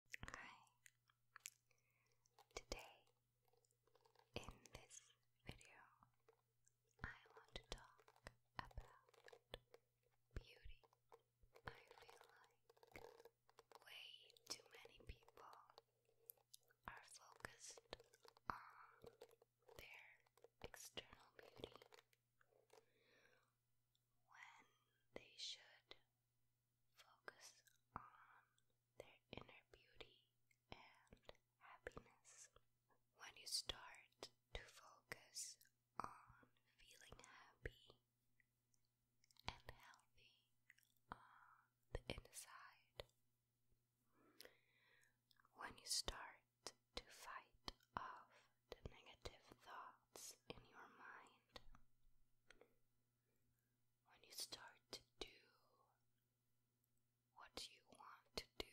Hi. Today, in this video, I want to talk about beauty. I feel like way too many people are focused on their external beauty when they should focus on their inner beauty and happiness. When you start to focus on feeling happy and healthy on the inside, when you start to fight off the negative thoughts in your mind, when you start to do what you want to do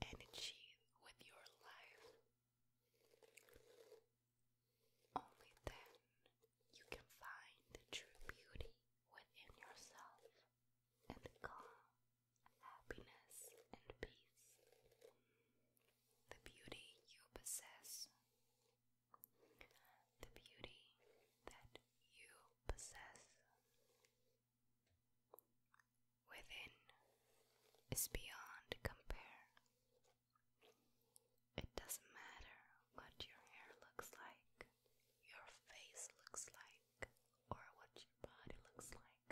and achieve with your life, only then you can find the true beauty within yourself and the calm, happiness, and peace. The beauty you possess the beauty that you possess within is beyond compare. It doesn't matter what your hair looks like, your face looks like, or what your body looks like.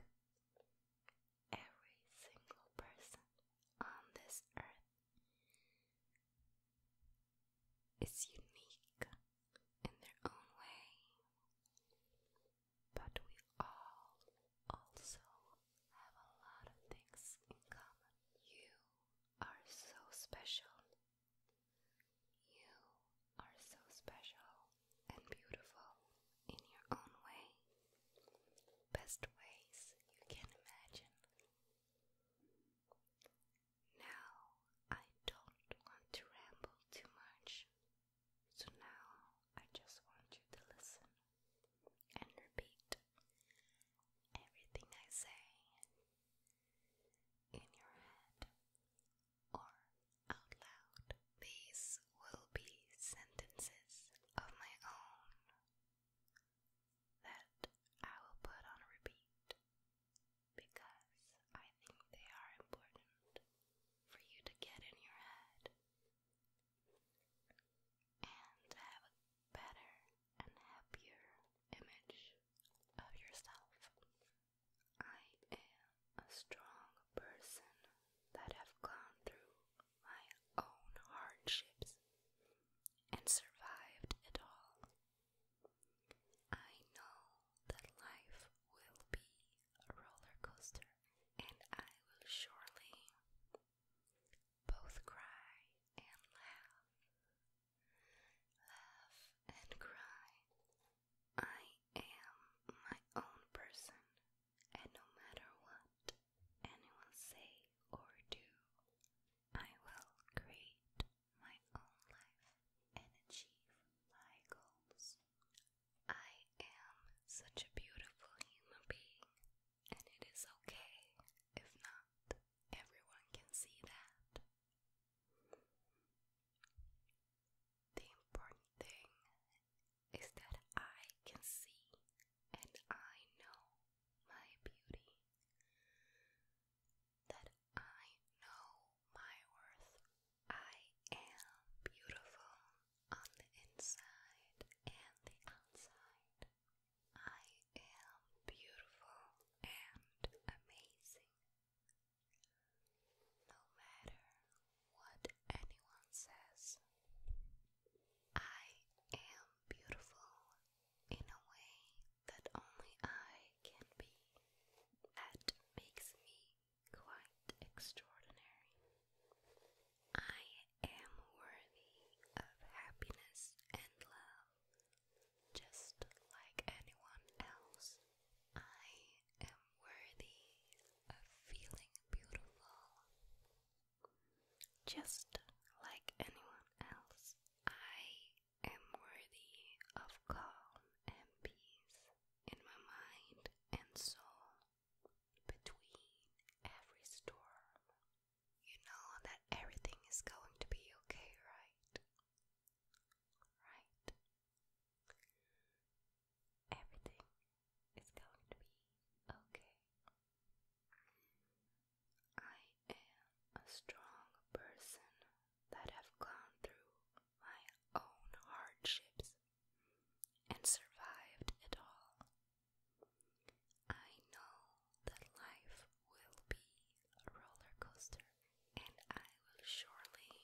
Every single person on this earth it's unique in their own way, but we all also have a lot of things in common. You are so special. You are so special and beautiful in your own way, best ways you can imagine. Now I don't want to ramble too much, so now I just want you to listen and repeat everything I say in your head or out loud. These will be sentences of my own that I will put on repeat because I think they are important for you to get in your head and have a better and happier image of yourself. I am a strong person that have gone through my own hardships and survived it all. I know that life will be a roller coaster, and I will surely both cry and laugh, laugh and cry. I am my own person, and no matter what anyone say or do, I will create my own life and achieve my goals. I am such a beautiful human being, and it is okay if not everyone can see that. The important thing is that I can see and I know my beauty that I know my worth. I am beautiful on the inside and the outside. I am beautiful and amazing. No matter what anyone says, I am beautiful in a way that only I can be. That makes me quite extraordinary. I am worthy of happiness and love, just like anyone else. I am worthy of feeling beautiful, just like anyone else. I am worthy of calm and peace in my mind and soul between every storm. You know that everything is going to be okay, right? Right? Everything is going to be okay. I am a strong person that have gone through my own hardships and survived it all. I know that life will be a roller coaster and I will surely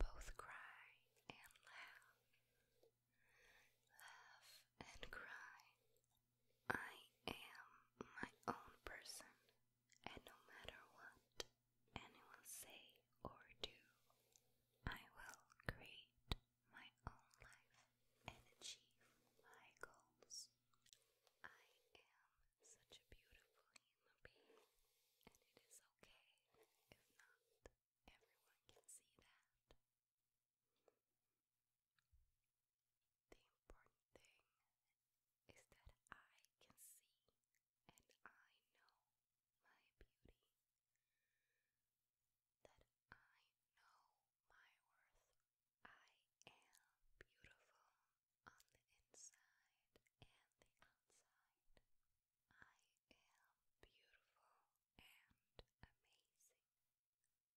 both cry and laugh, laugh and cry I am my own person, and no matter what anyone say or do, I will create my own life and achieve my goals. I am such a beautiful human being, and it is okay if not everyone can see that. The important thing is that I can see and I know my beauty, that I know my worth. I am beautiful on the inside and the outside. I am beautiful and amazing. No matter what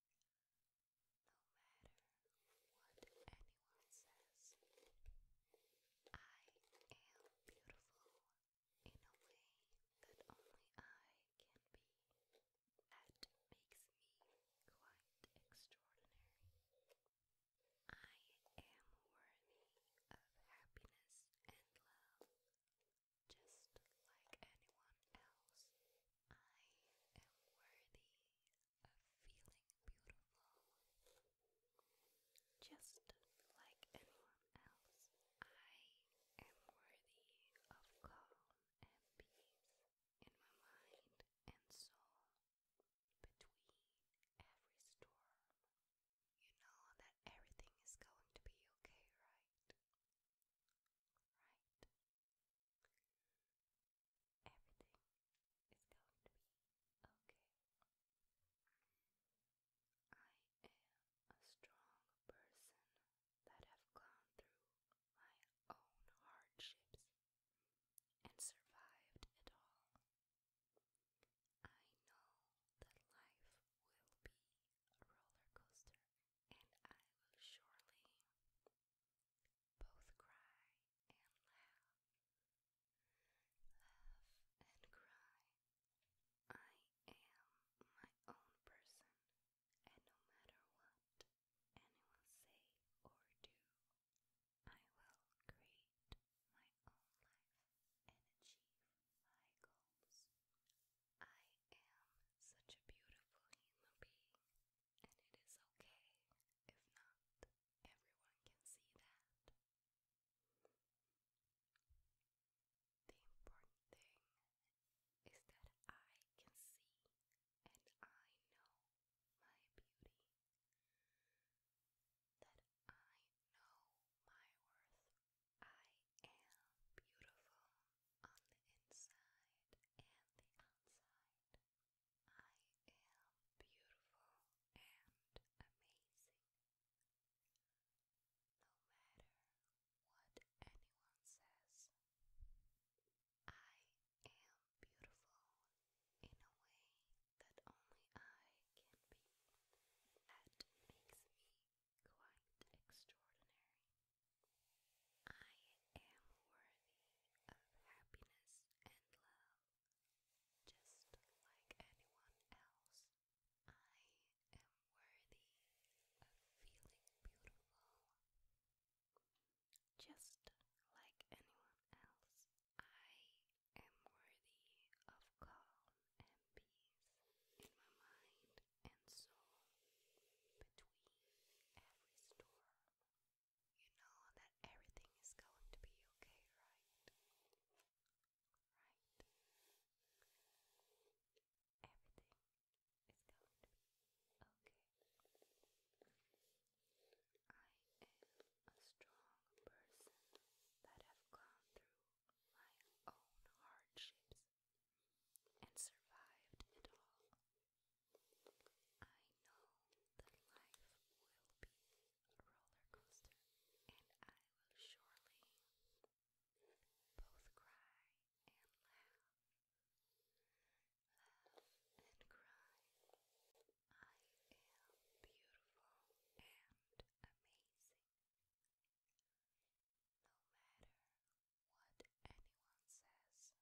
anyone says, I am beautiful in a way that only I can be. That makes me quite extraordinary. I am worthy of happiness and love, just like anyone else. I am worthy of feeling beautiful just like anyone else. I am worthy of calm and peace in my mind and soul between every storm. You know that everything is going to be okay, right? Right? Everything is going to be okay. I am a strong person that have gone through my own hardships and survived it all. I know that life will be a roller coaster and I will surely both cry and laugh, laugh and cry. I am my own person, and no matter what anyone say or do, I will create my own life and achieve my goals. I am such a beautiful human being and it is okay if not. Everyone can see that. The important thing is that I can see and I know my beauty. That I know my worth. I am beautiful on the inside and the outside. I am beautiful and amazing. No matter what anyone says, I am beautiful in a way that only I can be. That makes me quite extraordinary. I am worthy of happiness and love just like anyone else. I am worthy of feeling beautiful just like anyone else. I am worthy of calm and peace in my mind and soul between every storm. You know that everything is going to be okay, right? Right? Everything is going to be okay. I am a strong person that have gone through my own hardships and survived it all. I know that life will be a roller coaster, and I will surely both cry and laugh, laugh and cry. I am beautiful and amazing. No matter what anyone says,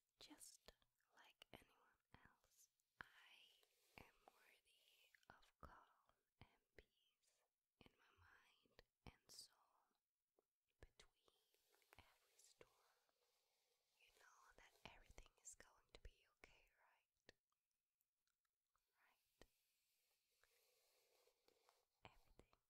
Just like anyone else, I am worthy of calm and peace in my mind and soul between every storm. You know that everything is going to be okay, right? Right? Everything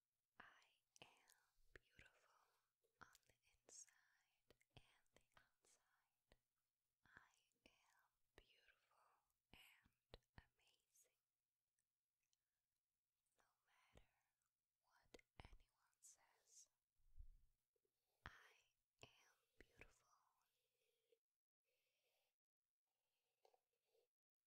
I am beautiful on the inside and the outside. I am beautiful and amazing. No matter what anyone says, I am beautiful.